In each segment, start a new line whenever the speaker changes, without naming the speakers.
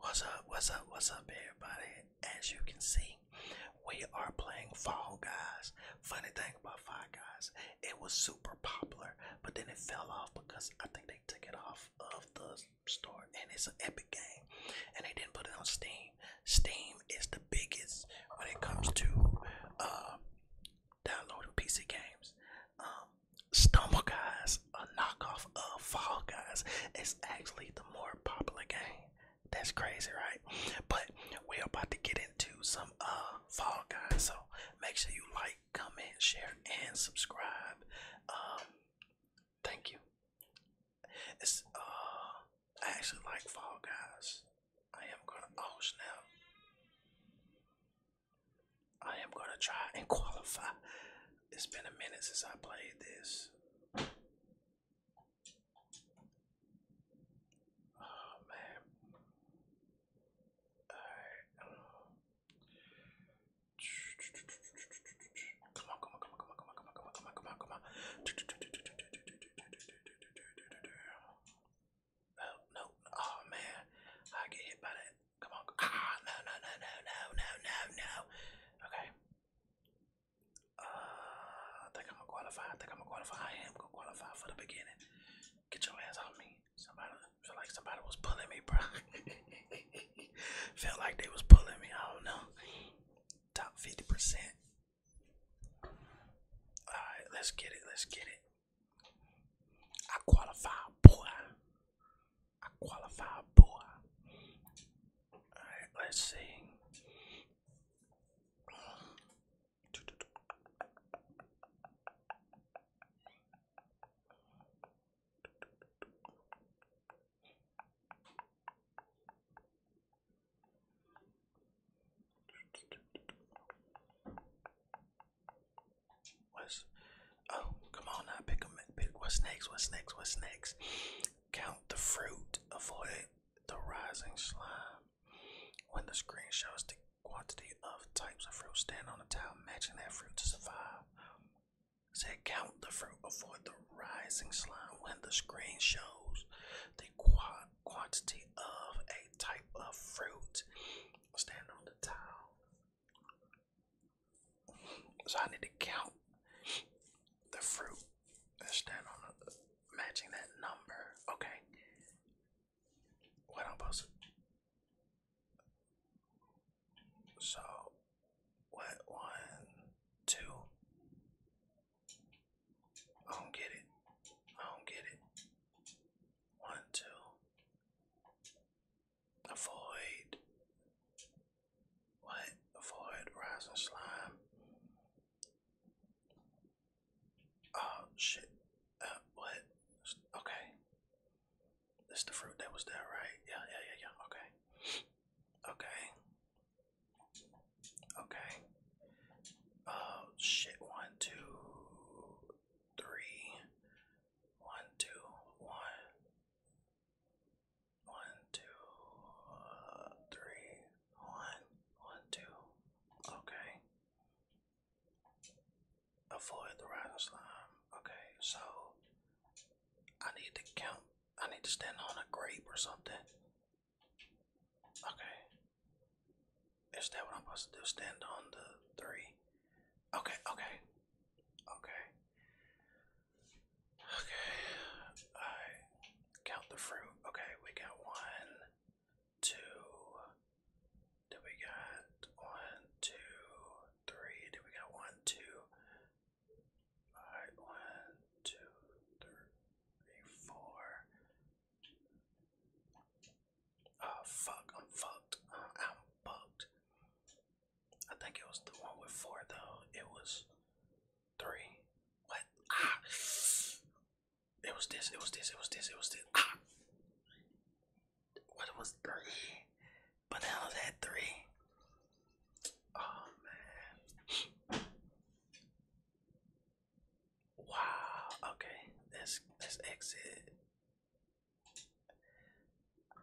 What's up, what's up, what's up everybody? As you can see, we are playing Fall Guys. Funny thing about Fall Guys, it was super popular, but then it fell off because I think they took it off of the store and it's an epic game. And they didn't put it on Steam. Steam is the biggest when it comes to uh downloading PC games. Um, Stumble Guys, a knockoff of Fall Guys, is actually the more popular game. That's crazy, right? But we're about to get into some uh, Fall Guys, so make sure you like, comment, share, and subscribe. Um, thank you. It's uh, I actually like Fall Guys. I am gonna oh snap. I am gonna try and qualify. It's been a minute since I played this. Oh man. Come on, come on, come on, come on, come on, come on, come on, come on, come on, come on. Oh no. Oh man. I get hit by that Come on. Ah, no, no, no, no, no, no, no, no. Okay. Uh, I think I'm gonna qualify. I think I'm gonna qualify. I am gonna qualify for the beginning. Get your ass off me. Somebody feel like somebody was pulling me, bro. Felt like they was pulling me. I don't know. Top fifty percent. All right, let's get it. Let's get it. I qualify, boy. I qualify, boy. Alright, let's see. What's oh come on now pick them pick what's next what's next what's next count the fruit avoid the rising slime when the screen shows the quantity of types of fruit stand on the tile matching that fruit to survive say count the fruit avoid the rising slime when the screen shows the quantity of a type of fruit stand on the tile so I need to count the fruit and stand on the, matching that number. Okay. What I'm supposed to so what one two I don't get it. I don't get it. One two Avoid. What? Avoid rising slime. Oh shit. Uh, what? Okay. This the fruit that was there, right? Yeah, yeah, yeah, yeah. Okay. Okay. Okay. Oh shit. One, two, three. 121 Okay. Avoid the rising slime. Okay, so I need to count. I need to stand on a grape or something. Okay. Is that what I'm supposed to do? Stand on the three. Okay, okay. Okay. Okay. I count the fruit. Okay, we got one, two. Did we got one, two, three? Did we got one, two? Alright, one, two, three, four. Oh fuck, I'm fucked. I'm, I'm fucked. I think it was the one with four though. It was three. What? Ah. It was this. It was this. It was this. It was this. Ah. What was three? But now was at three. Oh man. Wow. Okay. Let's let's exit.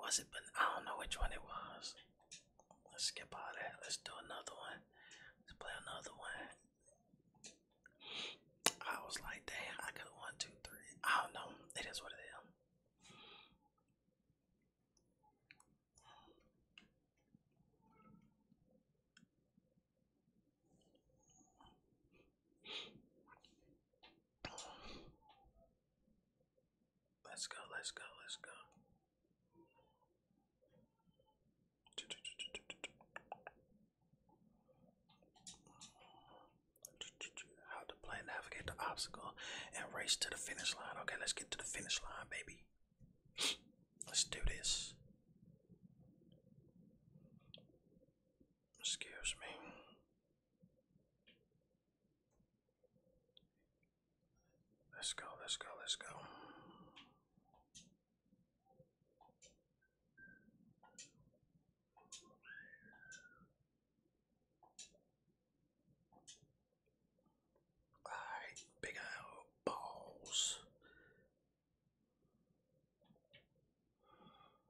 Was it? But I don't know which one it was. Let's skip all that. Let's do another one. Let's play another one. I was like, damn, I could one, two, three. I don't know. It is what it is. Let's go, let's go, let's go. How to play, navigate the obstacle, and race to the finish line. Okay, let's get to the finish line, baby. Let's do this. Excuse me. Let's go, let's go, let's go. Alright, big old balls.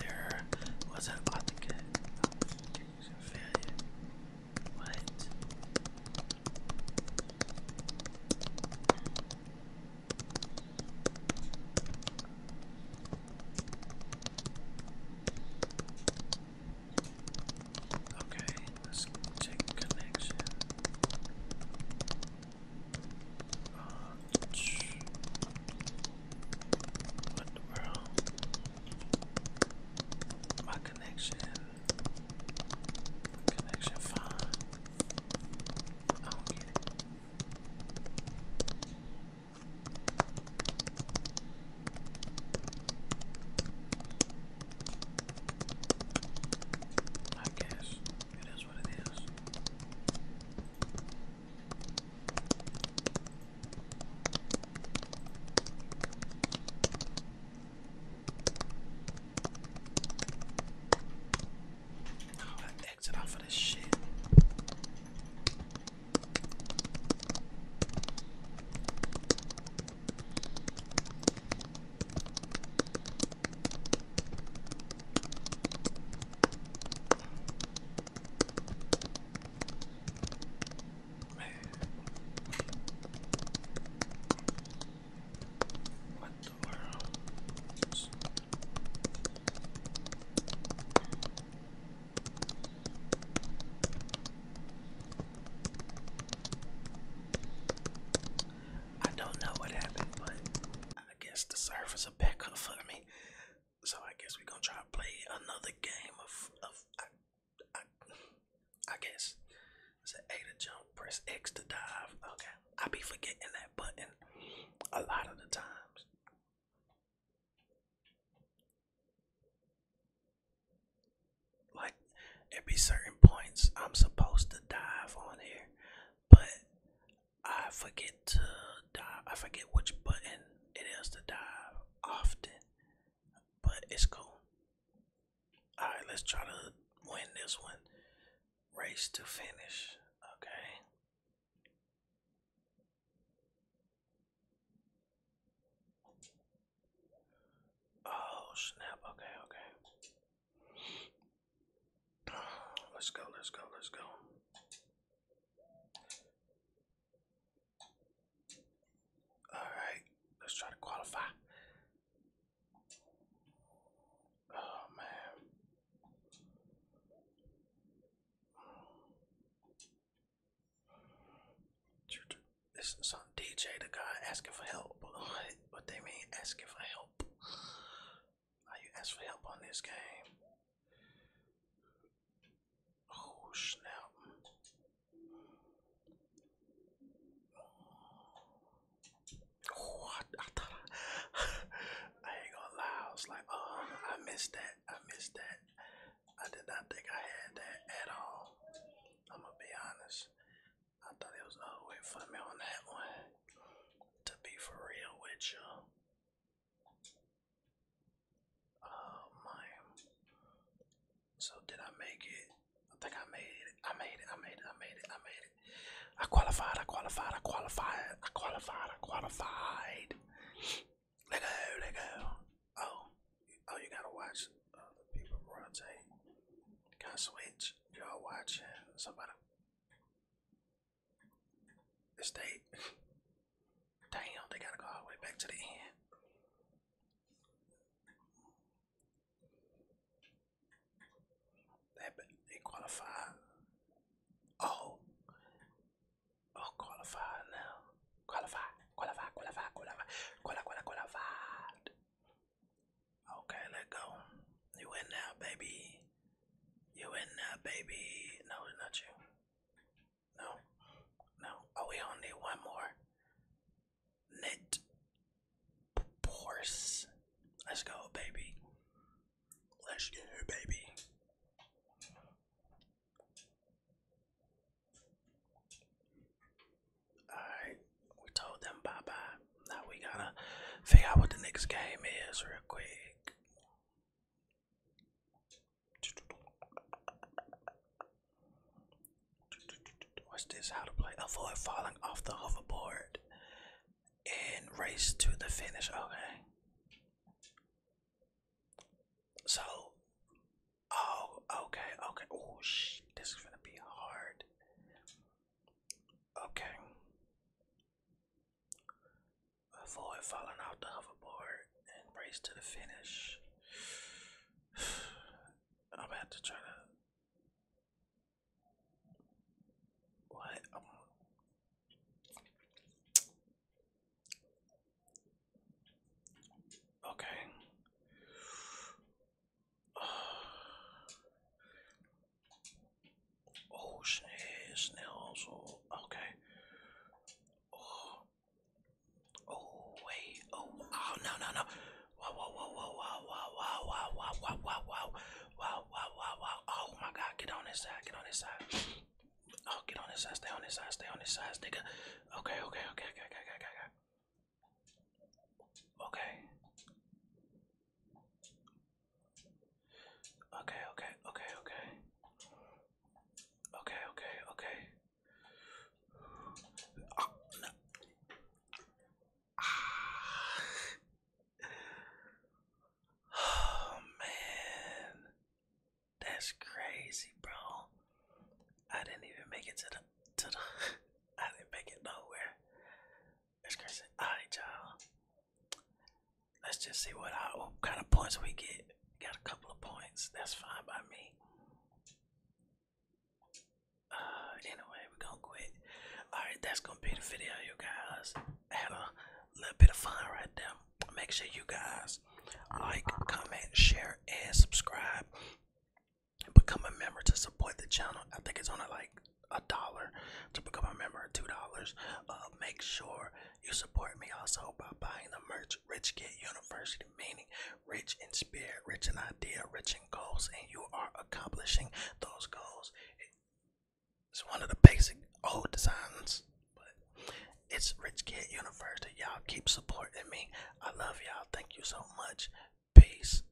there was an authentic failure. What? Okay, let's check connection. Uh, what world? My connection. Connection fine. I don't get it. I guess it is what it is. How do I exit off of this shit? What the I don't know what happened, I guess the Surfers are of fun for me. So I guess we're gonna try to play another game of I, I, I guess it's an A to jump, press X to dive. Okay, I be forgetting that button a lot of the times. Like at be certain points I'm supposed to dive on here, but I forget to dive. I forget which button it is to dive often, but it's cool. All right, let's try to win this one. Race to finish. Okay. Oh snap! Okay, okay. Let's go, let's go, let's go. Alright, let's try to qualify. Oh man. This some DJ the guy asking for help. What they mean asking for help? Are you asking for help on this game? Oh snap! Oh, I, ain't gonna lie. I was like, oh, I missed that. I missed that. I did not think I had that at all. I'm gonna be honest. I thought it was all way for me on that one to be for real with you. Oh my. So did I make it? I think I made it. I made it. I made it. I made it. I made it. I qualified. I qualified. I qualified. I qualified. I qualified. Let go. Let go. Oh. Oh, you gotta watch other people rotate. Gotta switch. Y'all watching. Somebody. Estate. Damn, they gotta go all the way back to the end. They they qualified. Oh, oh, qualified now. Qualified, qualified, qualified, qualified, qualified, qualified. Okay, let go. You in now, baby. You in now, baby. No, not you. No, no. Oh, we only need one more. Knit. Horse. Let's go, baby. Let's go, baby. Alright, we told them bye bye. Now we gotta figure out what the next game is real quick. What's this? How to play? Avoid falling off the hoverboard and race to the finish. Okay. So, oh, okay, okay. Oh, shit, this is gonna be hard. Okay. Avoid falling off the hoverboard and race to the finish. I'm about to try to. What? Okay. Oh, snail, snail also. Okay. Oh. Oh wait. Oh. Oh no no no. Wow wow wow wow wow wow wow wow wow wow wow wow wow wow wow wow. Oh my God! Get on this side. Get on this side. Oh, get on this side. Stay on this side. Stay on this side, nigga. Okay okay okay okay okay okay okay. Okay. Okay, okay, okay, okay. Okay, okay, okay. Oh, no. ah. oh man. That's crazy, bro. I didn't even make it to the to the I didn't make it nowhere. Alright, y'all. Let's just see what, kind of points we get. Got a couple of points. That's fine by me. Uh, anyway, we're going quit. Alright, that's gonna be the video, you guys. had a little bit of fun right there. Make sure you guys like, comment, share, and subscribe become a member to support the channel. I think it's only like a dollar to become a member, two dollars. Uh, make sure you support me also by buying the merch Rich Kid University, meaning rich in spirit, rich in idea, rich in goals, and you are accomplishing those goals. It's one of the basic old designs, but it's Rich Kid University. Y'all keep supporting me. I love y'all. Thank you so much. Peace.